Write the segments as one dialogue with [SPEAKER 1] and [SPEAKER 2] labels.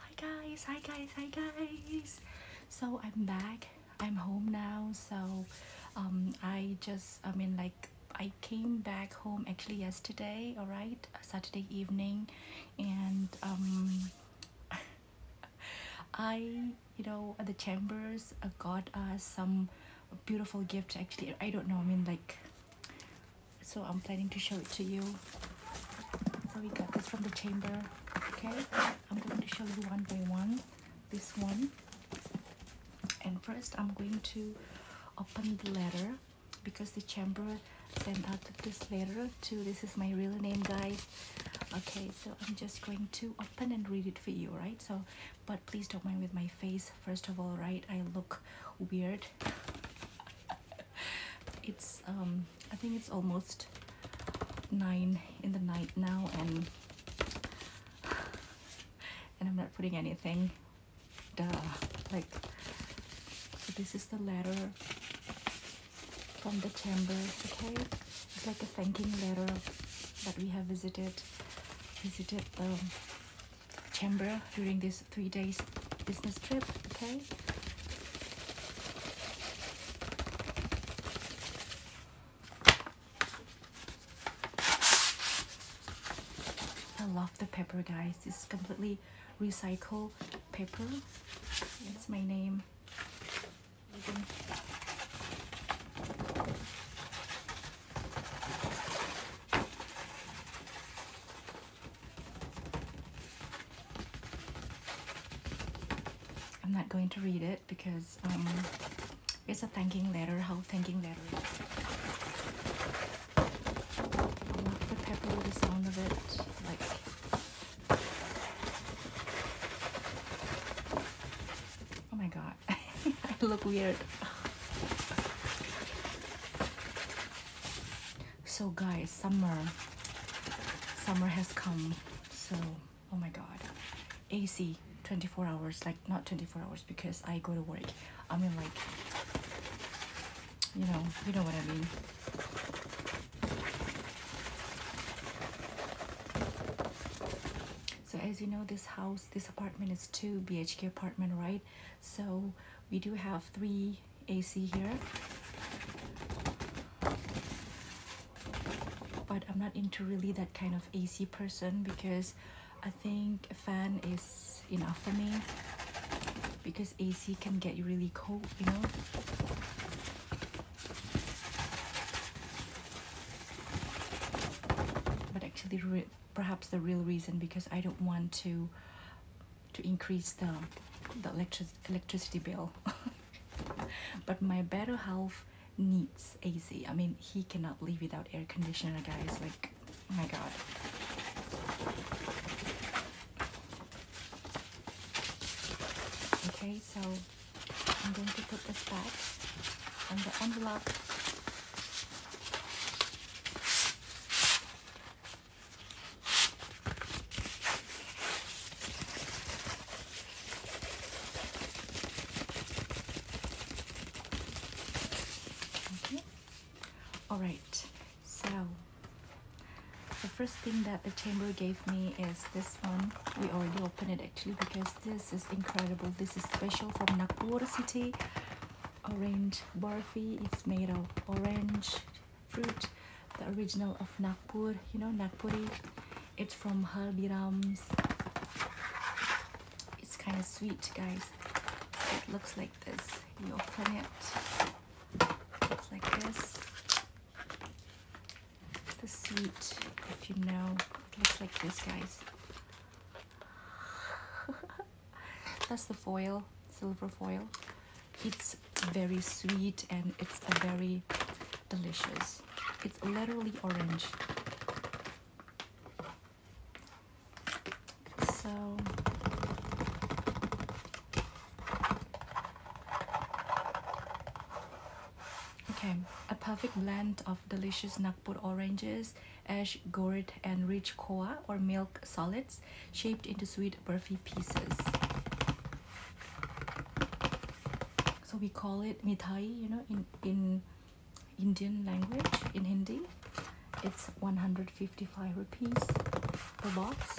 [SPEAKER 1] hi guys hi guys hi guys so i'm back i'm home now so um, i just i mean like i came back home actually yesterday all right saturday evening and um, i you know the chambers uh, got us some beautiful gift actually i don't know i mean like so I'm planning to show it to you so we got this from the chamber okay I'm going to show you one by one this one and first I'm going to open the letter because the chamber sent out this letter to this is my real name guys okay so I'm just going to open and read it for you right so but please don't mind with my face first of all right I look weird it's um I think it's almost nine in the night now and and I'm not putting anything duh like this is the letter from the chamber okay it's like a thanking letter that we have visited visited the chamber during this three days business trip, okay? I love the paper, guys. It's completely recycled paper. It's my name. I'm not going to read it because um, it's a thanking letter, how thanking letter is. I love the pepper, the sound of it, like... Oh my god, I look weird. So guys, summer, summer has come. So, oh my God, AC 24 hours, like not 24 hours because I go to work. I mean like, you know, you know what I mean. So as you know, this house, this apartment is two BHK apartment, right? So we do have three AC here. But I'm not into really that kind of AC person because I think a fan is enough for me because AC can get you really cold, you know? But actually, perhaps the real reason because I don't want to to increase the, the electric electricity bill. but my better half needs AC. I mean, he cannot live without air conditioner, guys. Like, my God. Okay, so I'm going to put this back in the envelope. Okay. All right. So the first thing that the chamber gave me is this one. We already opened it actually because this is incredible. This is special from Nagpur city. Orange barfi. is made of orange fruit, the original of Nagpur, you know, Nagpuri. It's from Haldiram's. It's kind of sweet, guys. It looks like this. You open it. It's like this. The sweet, if you know, looks like this, guys. That's the foil, silver foil. It's very sweet and it's a very delicious. It's literally orange. So Okay, a perfect blend of delicious Nagpur oranges, ash, gourd, and rich koa or milk solids shaped into sweet burfi pieces. So we call it mitai, you know, in in Indian language, in Hindi. It's 155 rupees per box.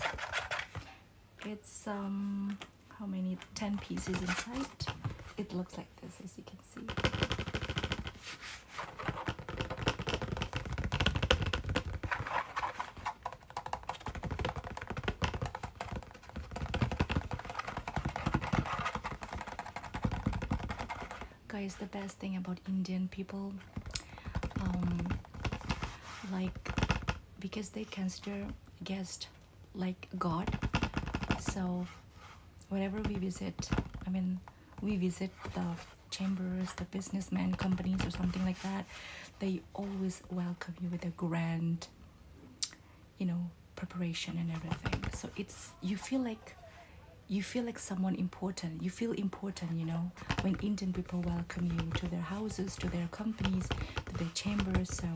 [SPEAKER 1] It's um how many 10 pieces inside. It looks like this as you can see. Guys, the best thing about Indian people, um, like, because they consider guest like God. So, whenever we visit, I mean, we visit the chambers, the businessmen, companies, or something like that they always welcome you with a grand you know preparation and everything so it's you feel like you feel like someone important you feel important you know when indian people welcome you to their houses to their companies to their chambers so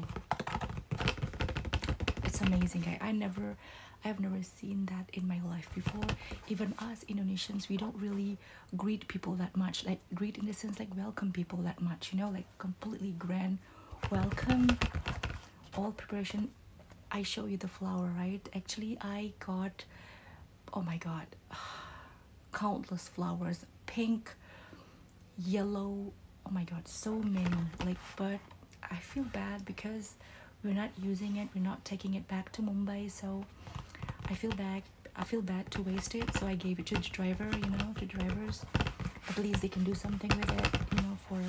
[SPEAKER 1] it's amazing i, I never i've never seen that in my life before even us indonesians we don't really greet people that much like but greet in the sense like welcome people that much you know like completely grand welcome all preparation i show you the flower right actually i got oh my god countless flowers pink yellow oh my god so many like but i feel bad because we're not using it we're not taking it back to mumbai so i feel bad I feel bad to waste it, so I gave it to the driver, you know, to drivers. At least they can do something with it, you know, for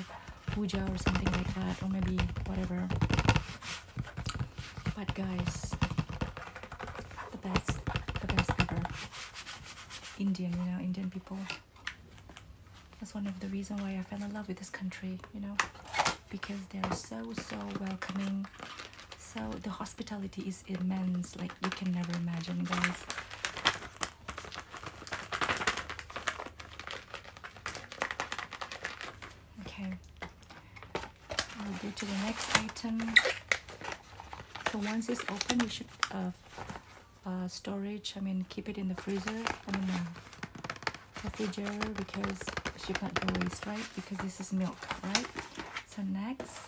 [SPEAKER 1] puja or something like that, or maybe whatever. But guys, the best, the best ever. Indian, you know, Indian people. That's one of the reason why I fell in love with this country, you know, because they're so, so welcoming. So the hospitality is immense, like you can never imagine, guys. Okay, go to the next item. So once it's open, you should uh, uh, storage. I mean, keep it in the freezer. I mean, uh, refrigerator because it can not go waste, right? Because this is milk, right? So next,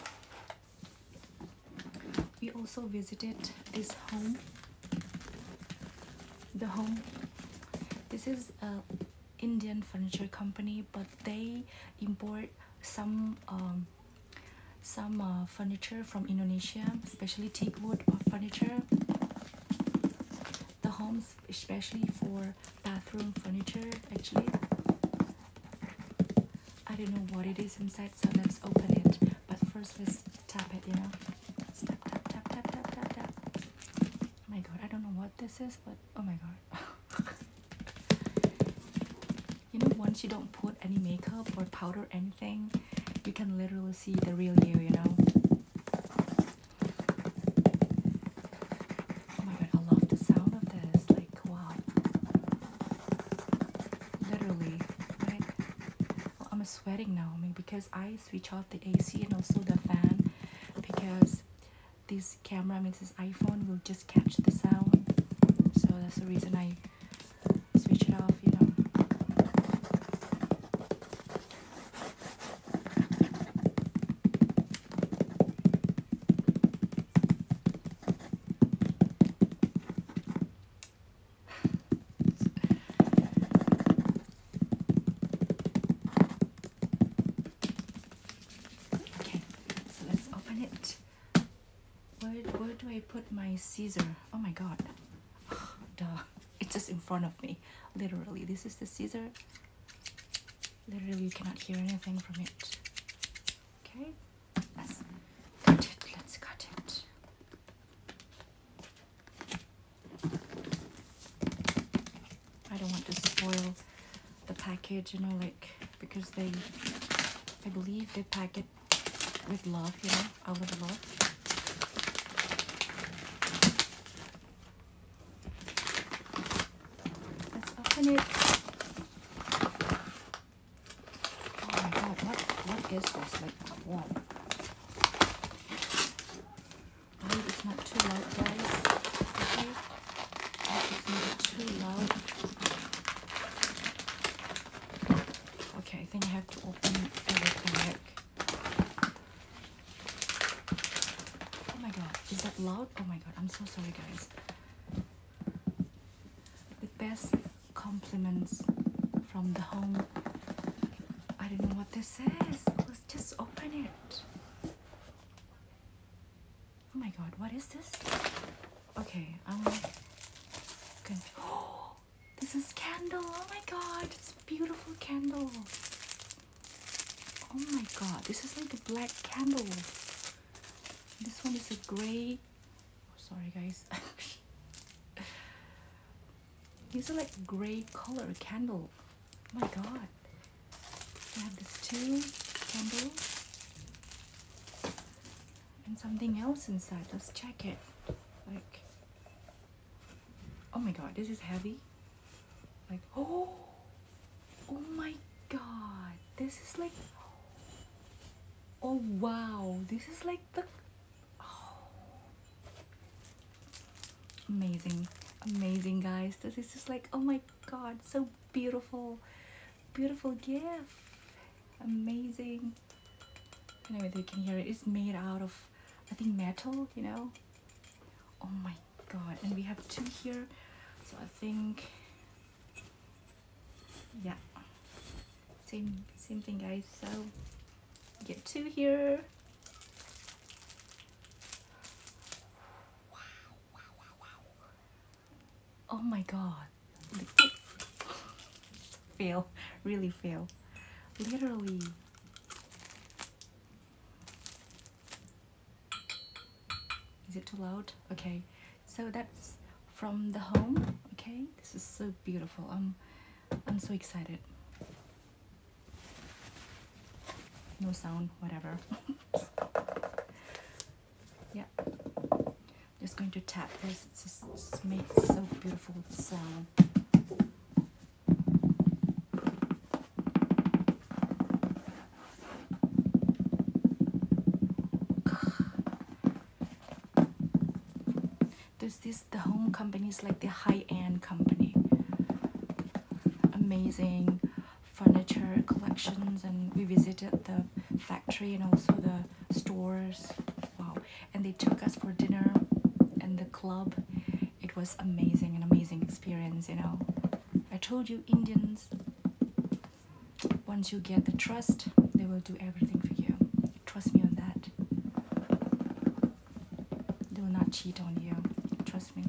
[SPEAKER 1] we also visited this home the home this is a indian furniture company but they import some um, some uh, furniture from indonesia especially teak wood furniture the homes especially for bathroom furniture actually I don't know what it is inside, so let's open it. But first, let's tap it, you know. Let's tap, tap, tap, tap, tap, tap, tap. Oh my god, I don't know what this is, but oh my god. you know, once you don't put any makeup or powder or anything, you can literally see the real you, you know. Oh my god, I love the sound of this. Like, wow. Literally, I'm sweating now. I because I switch off the AC and also the fan, because this camera, means this iPhone will just catch the sound. So that's the reason I switch it off. You know okay, so let's open it. Where, where do I put my scissor? Oh my god. duh. It's just in front of me. Literally, this is the scissor. Literally, you cannot hear anything from it. Okay. Let's cut it. Let's cut it. I don't want to spoil the package, you know, like because they, I believe they pack it with love, you know, out of love. Let's open it. Oh my god, what, what is this? Like, whoa. Right, not too loud, guys. Okay? It's not too loud. Okay, I think I have to open everything back. Oh my god, is that loud? Oh my god, I'm so sorry, guys the best compliments from the home. I don't know what this is. Let's just open it. Oh my god, what is this? Okay, I'm Oh, this is candle. Oh my god, it's beautiful candle. Oh my god, this is like a black candle. This one is a gray oh, sorry guys these are like gray color candle oh my god I have this two candle and something else inside let's check it like oh my god this is heavy like oh oh my god this is like oh wow this is like the oh. amazing amazing guys this is just like oh my god so beautiful beautiful gift amazing anyway you can hear it it's made out of i think metal you know oh my god and we have two here so i think yeah same same thing guys so get two here oh my god fail really fail literally is it too loud okay so that's from the home okay this is so beautiful i'm i'm so excited no sound whatever yeah just going to tap this It's just makes so beautiful sound there's this the home company is like the high-end company. Amazing furniture collections and we visited the factory and also the stores. Wow. And they took us for dinner and the club. It was amazing, an amazing experience, you know. I told you Indians once you get the trust, they will do everything for you. Trust me on that. They will not cheat on you. Trust me.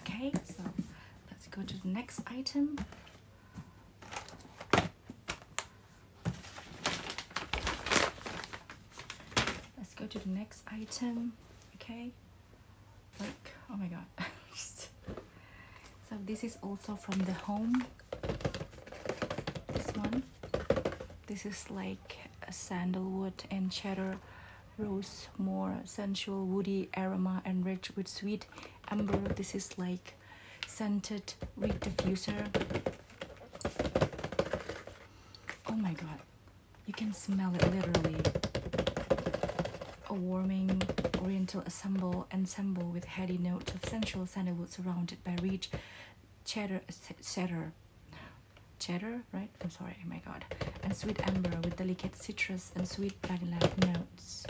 [SPEAKER 1] Okay, so let's go to the next item. Let's go to the next item. Okay, like, oh my god. so this is also from the home this one this is like a sandalwood and cheddar rose more sensual woody aroma and rich with sweet amber this is like scented wick diffuser oh my god you can smell it literally a warming oriental assemble and with heady notes of sensual sandalwood surrounded by rich cheddar, cheddar, cheddar, right? I'm sorry, oh my god. And sweet amber with delicate citrus and sweet vanilla notes.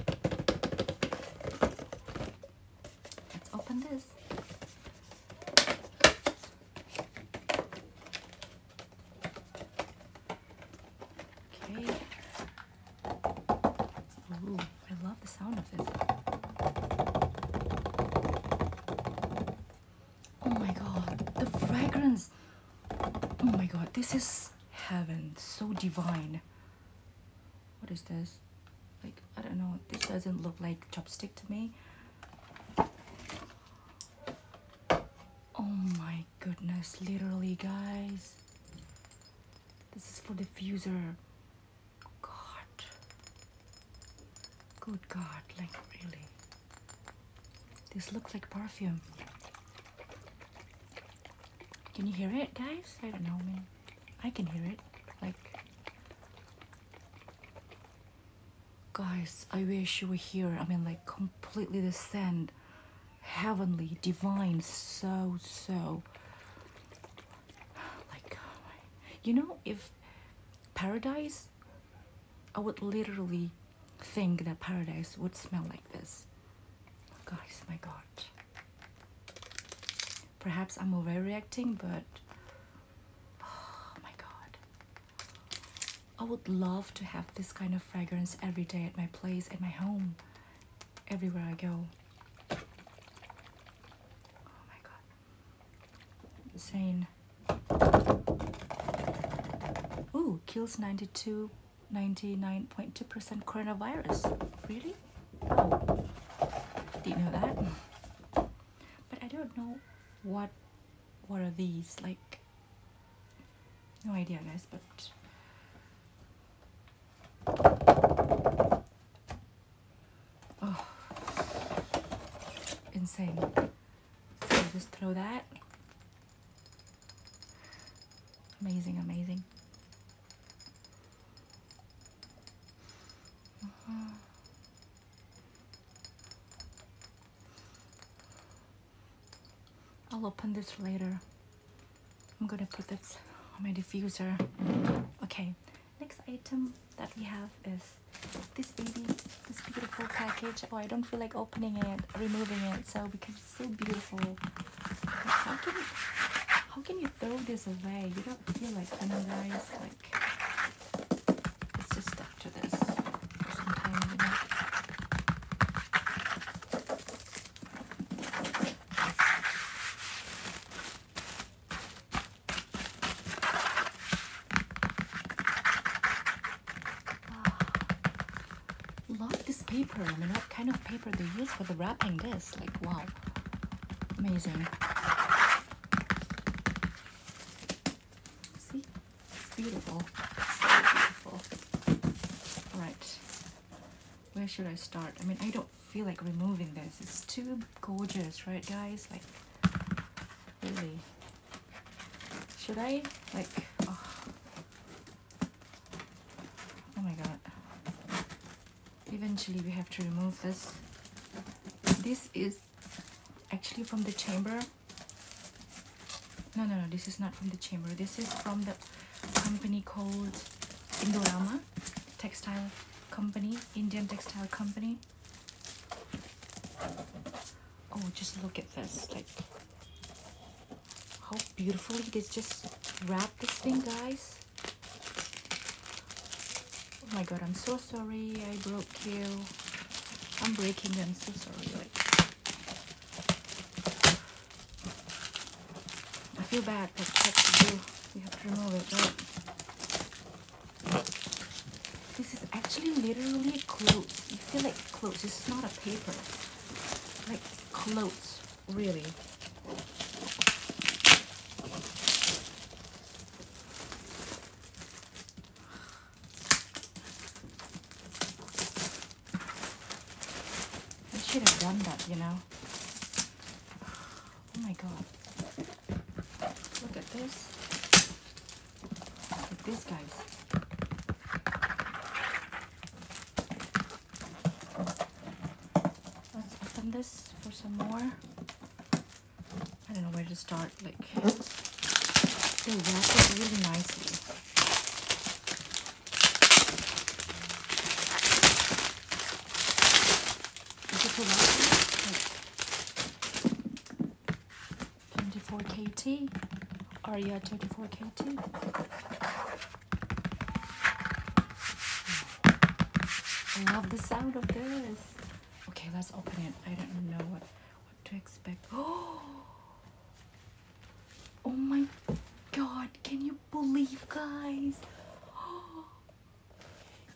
[SPEAKER 1] Let's open this. Okay, I love the sound of this. Oh my god, the fragrance! Oh my god, this is heaven, so divine. What is this? Like, I don't know, this doesn't look like chopstick to me. Oh my goodness, literally guys. This is for diffuser. God. Good God, like really. This looks like perfume. Can you hear it, guys? I don't know, man. I can hear it. Like, guys, I wish you were here. I mean, like, completely the scent, heavenly, divine, so, so like oh you know if paradise i would literally think that paradise would smell like this oh, guys my god perhaps i'm overreacting but oh my god i would love to have this kind of fragrance every day at my place at my home everywhere i go Oh my god. Insane. Ooh, kills 92, 99.2% coronavirus. Really? Oh. did you know that. But I don't know what what are these like. No idea, guys. But Oh, insane. just throw that. Amazing, amazing. Uh-huh. I'll open this later. I'm gonna put this on my diffuser. Okay, next item that we have is this baby, this beautiful package. Oh, I don't feel like opening it, removing it, so because it's so beautiful. How can, you, how can you throw this away? You don't feel like unwise, like it's just stuck to this. Sometimes, you know? Love this paper. I mean, what kind of paper they use for the wrapping this? Like, wow. Amazing. See? beautiful. beautiful. All right where should I start? I mean, I don't feel like removing this. It's too gorgeous, right, guys? Like, really. Should I? Like, oh, oh, my god. Eventually, we have to remove this. This is actually from the chamber. No, no, no, this is not from the chamber. This is from the company called Indorama Textile company, Indian textile company. Oh, just look at this. Like how beautifully they just wrap this thing, guys. Oh my god, I'm so sorry. I broke you. I'm breaking them. So sorry. Like I feel bad because what you do, you have to remove it, This is actually literally clothes. You feel like clothes. This is not a paper. Like clothes, really. I should have done that, you know. Oh my god. Look at this. Look at this, guys. Let's open this for some more. I don't know where to start. Like, they wrap it really nicely. 24 KT, Aria 24 KT. I love the sound of this. Okay, let's open it. I don't know what, what to expect. Oh, oh my god, can you believe, guys? Oh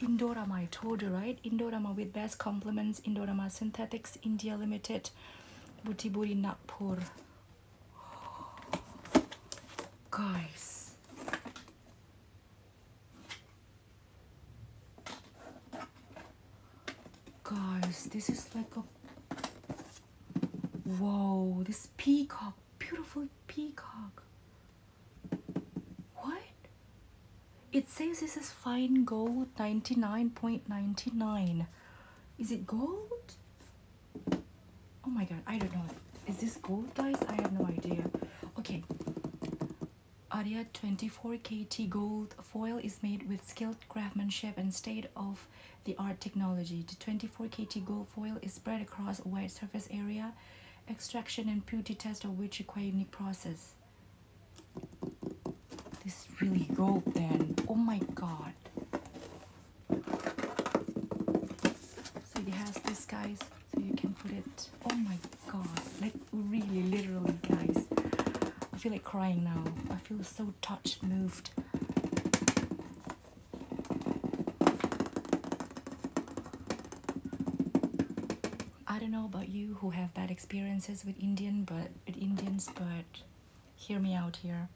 [SPEAKER 1] Indorama, I told you, right? Indorama with best compliments, Indorama Synthetics, India Limited, Butiburi Nagpur. Guys. Guys, this is like a... Whoa, this peacock, beautiful peacock. What? It says this is fine gold 99.99. Is it gold? Oh my god, I don't know. Is this gold, guys? I have no idea. Okay. Aria 24KT gold foil is made with skilled craftsmanship and state-of-the-art technology. The 24KT gold foil is spread across a wide surface area extraction and purity test of which require unique process. This really gold then. Oh my god. So it has this guys, so you can put it. Oh my god. Like really literally guys. I feel like crying now. I feel so touched, moved. I don't know about you who have bad experiences with Indian but with Indians but hear me out here.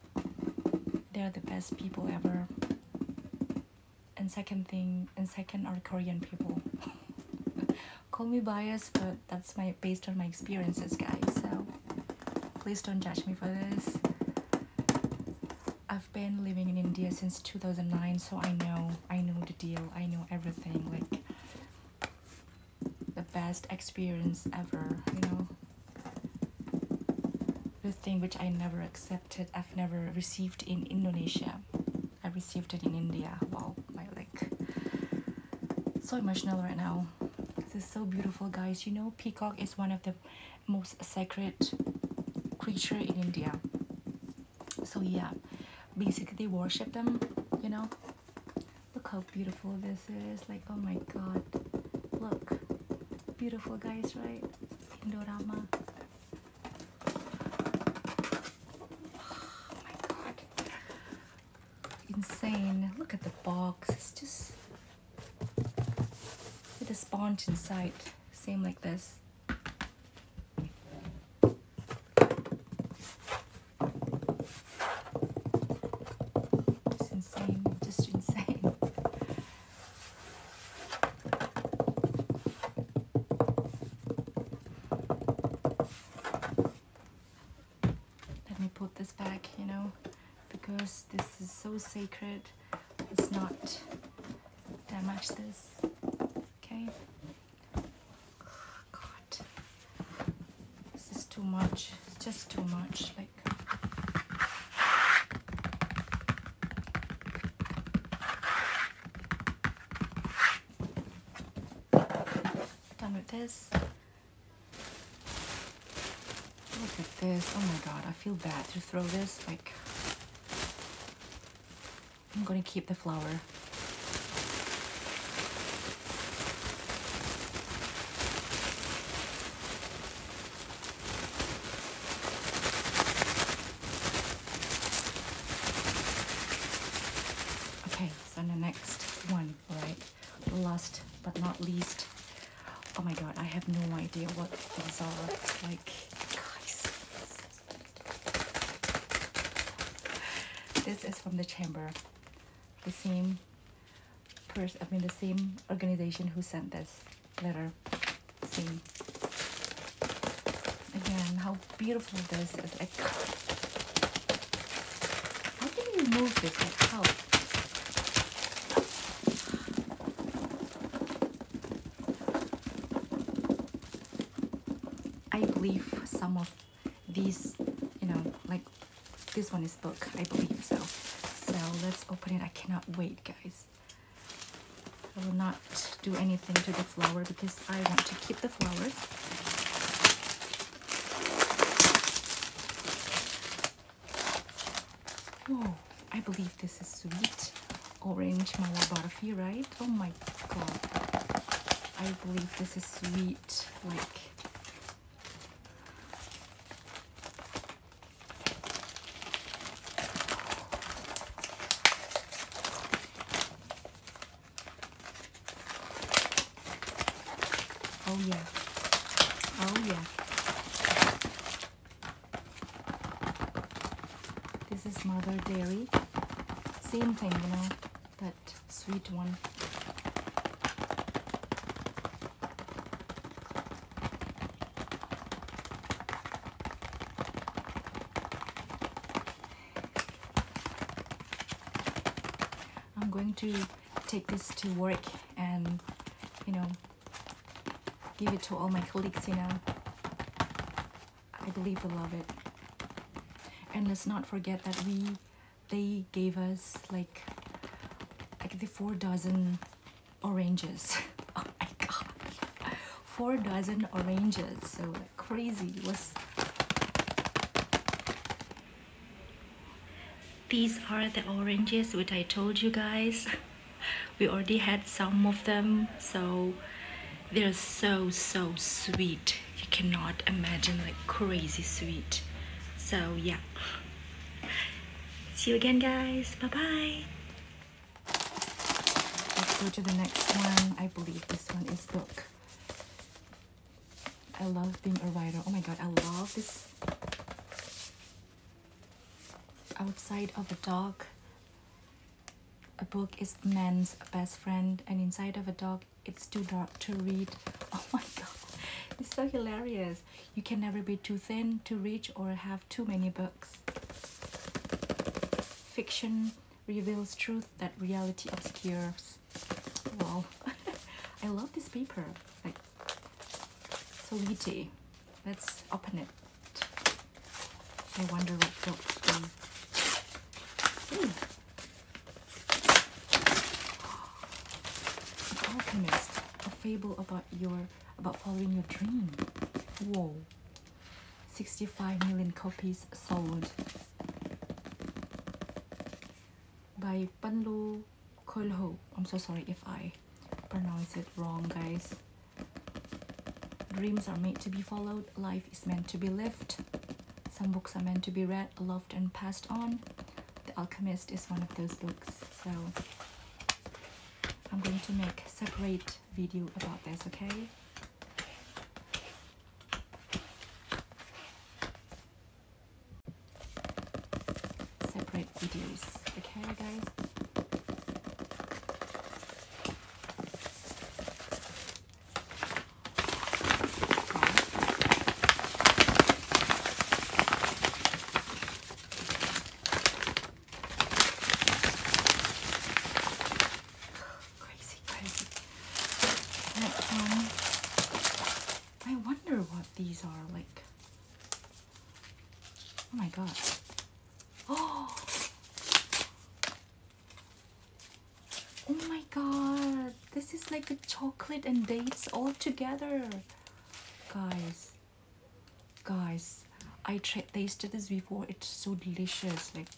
[SPEAKER 1] They are the best people ever. And second thing and second are Korean people. Call me biased but that's my based on my experiences guys so please don't judge me for this. I've been living in India since 2009 so I know I know the deal, I know everything, like the best experience ever, you know. The thing which I never accepted, I've never received in Indonesia. I received it in India. Wow, my like so emotional right now. This is so beautiful, guys. You know, peacock is one of the most sacred creature in India so yeah basically they worship them you know look how beautiful this is like oh my god look beautiful guys right Indorama oh my god insane look at the box it's just with a sponge inside same like this insane, just insane. Let me put this back, you know, because this is so sacred. It's not damage this. Okay. God, this is too much. It's just too much. Like. Done with this. Look at this. Oh my god, I feel bad to throw this. Like, I'm going to keep the flower. Okay, so the next one, all right. Last but not least. Oh my god, I have no idea what these are. Like, guys, this is from the chamber. The same person, I mean the same organization who sent this letter. Same. Again, how beautiful this is. how can you remove this? how? I believe some of these, you know, like this one is book, I believe so. So let's open it. I cannot wait, guys. I will not do anything to the flower because I want to keep the flowers. Whoa, I believe this is sweet orange mala barfi, right? Oh my god. I believe this is sweet. Like Oh yeah. Oh yeah. This is Mother Dairy. Same thing, you know, that sweet one. I'm going to take this to work and, you know, give it to all my colleagues, you know. I believe will love it. And let's not forget that we, they gave us like, like the four dozen oranges. oh my god, four dozen oranges. So crazy was. These are the oranges which I told you guys. We already had some of them, so they're so, so sweet. You cannot imagine, like crazy sweet. So, yeah. See you again, guys. Bye bye. Let's go to the next one. I believe this one is book. I love being a writer. Oh my god, I love this outside of a dog a book is man's best friend and inside of a dog it's too dark to read oh my god it's so hilarious you can never be too thin to reach or have too many books fiction reveals truth that reality obscures wow i love this paper like so meaty let's open it I wonder what filth they... Ooh. Hmm. The Alchemist, a fable about your about following your dream. Whoa. 65 million copies sold by Panlu Kolho. I'm so sorry if I pronounce it wrong, guys. Dreams are made to be followed Life is meant to be lived. Some books are meant to be read, loved, and passed on. The Alchemist is one of those books. So I'm going to make separate video about this, okay? Separate videos, okay guys? crazy, crazy. But, um, I wonder what these are like. Oh my god. Oh! Oh my god, this is like a chocolate and dates all together. Guys, guys, I tried tasted this before. It's so delicious. Like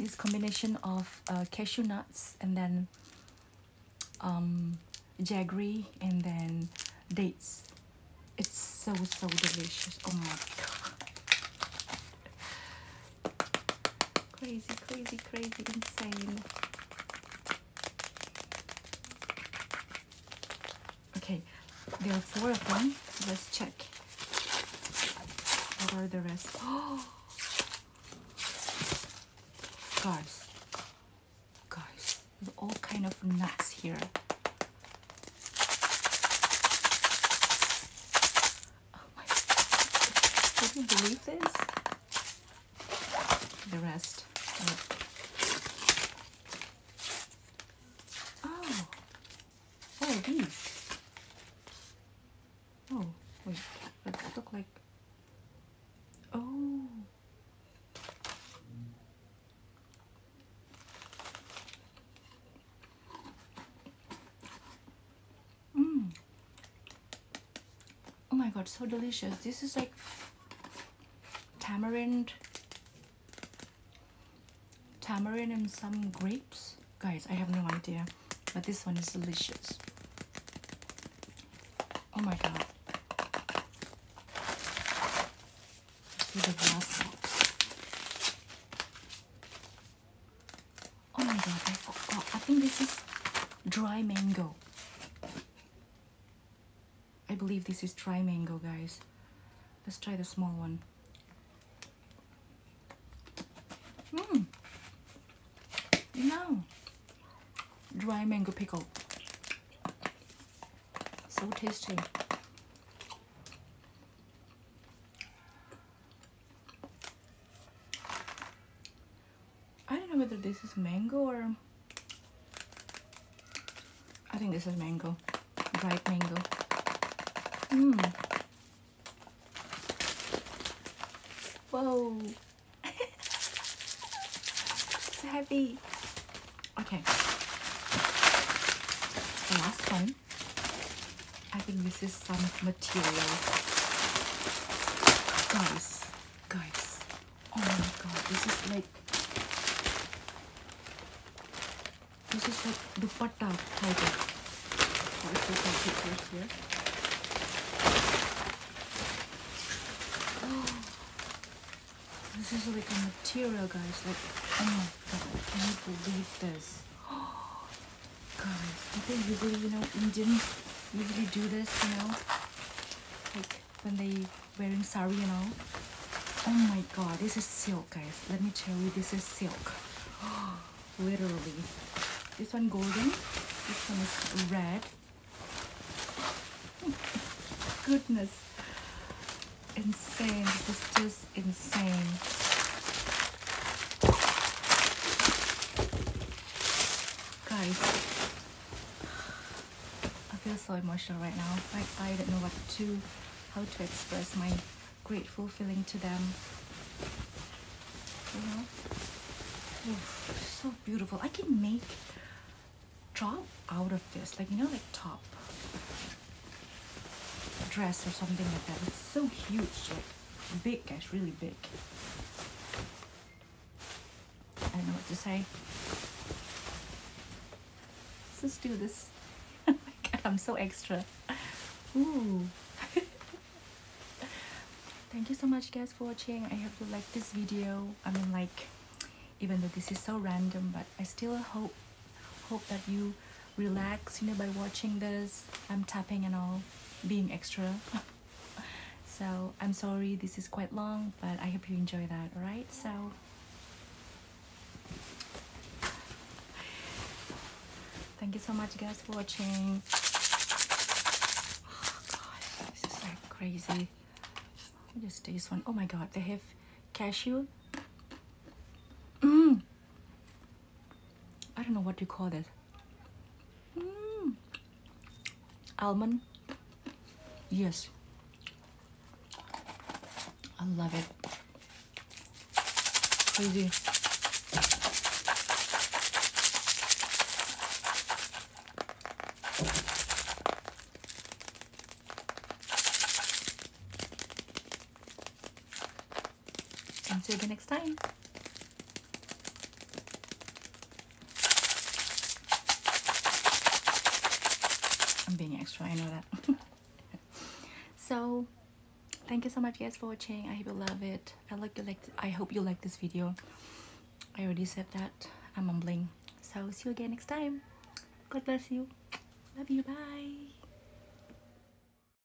[SPEAKER 1] this combination of uh, cashew nuts and then um, jaggery and then dates. It's so, so delicious. Oh my god crazy, crazy, crazy, insane. Okay, there are four of them. Let's check. What are the rest? Oh, guys, guys, all kind of nuts here. Oh my god. Can you believe this? The rest. Oh. Oh, these. Oh, wait. That look like... Oh. Mm. Oh my god, so delicious. This is like tamarind, tamarind and some grapes. Guys, I have no idea, but this one is delicious. Oh my god. Oh my god, I forgot. Oh, I think this is dry mango. I believe this is dry mango, guys. Let's try the small one. Mmm. Now, dry mango pickle. So tasty. I don't know whether this is mango or I think this is mango dried mango mm. whoa so heavy okay last one I think this is some material. Guys, guys. Oh my god, this is like this is like dupatta type of sorry for some pictures here oh, this is like a material guys like oh my god can you believe this oh, Guys, I think usually, you know, Indians usually do this, you know, like when they wearing sari, you know. Oh my god, this is silk, guys. Let me tell you, this is silk. literally. This one golden, this one is red. Goodness. Insane. This is just insane. Guys, I feel so emotional right now. Like I don't know what to, how to express my grateful feeling to them. You know? so beautiful. I can make drop out of this. Like, you know, like top dress or something like that. It's so huge big guys, really big. I don't know what to say. Let's do this. oh my god, I'm so extra. Ooh. Thank you so much guys for watching. I hope you like this video. I mean like even though this is so random but I still hope hope that you relax you know by watching this i'm tapping and all being extra so i'm sorry this is quite long but i hope you enjoy that all right so thank you so much guys for watching oh god this is like crazy let me just taste one. Oh my god they have cashew mm. I don't know what you call it. Mm. Almond. Yes. I love it. Crazy. And see you next time. I'm being extra, I know that. so thank you so much guys for watching. I hope you love it. I like you like I hope you like this video. I already said that. I'm mumbling. So see you again next time. God bless you. Love you. Bye.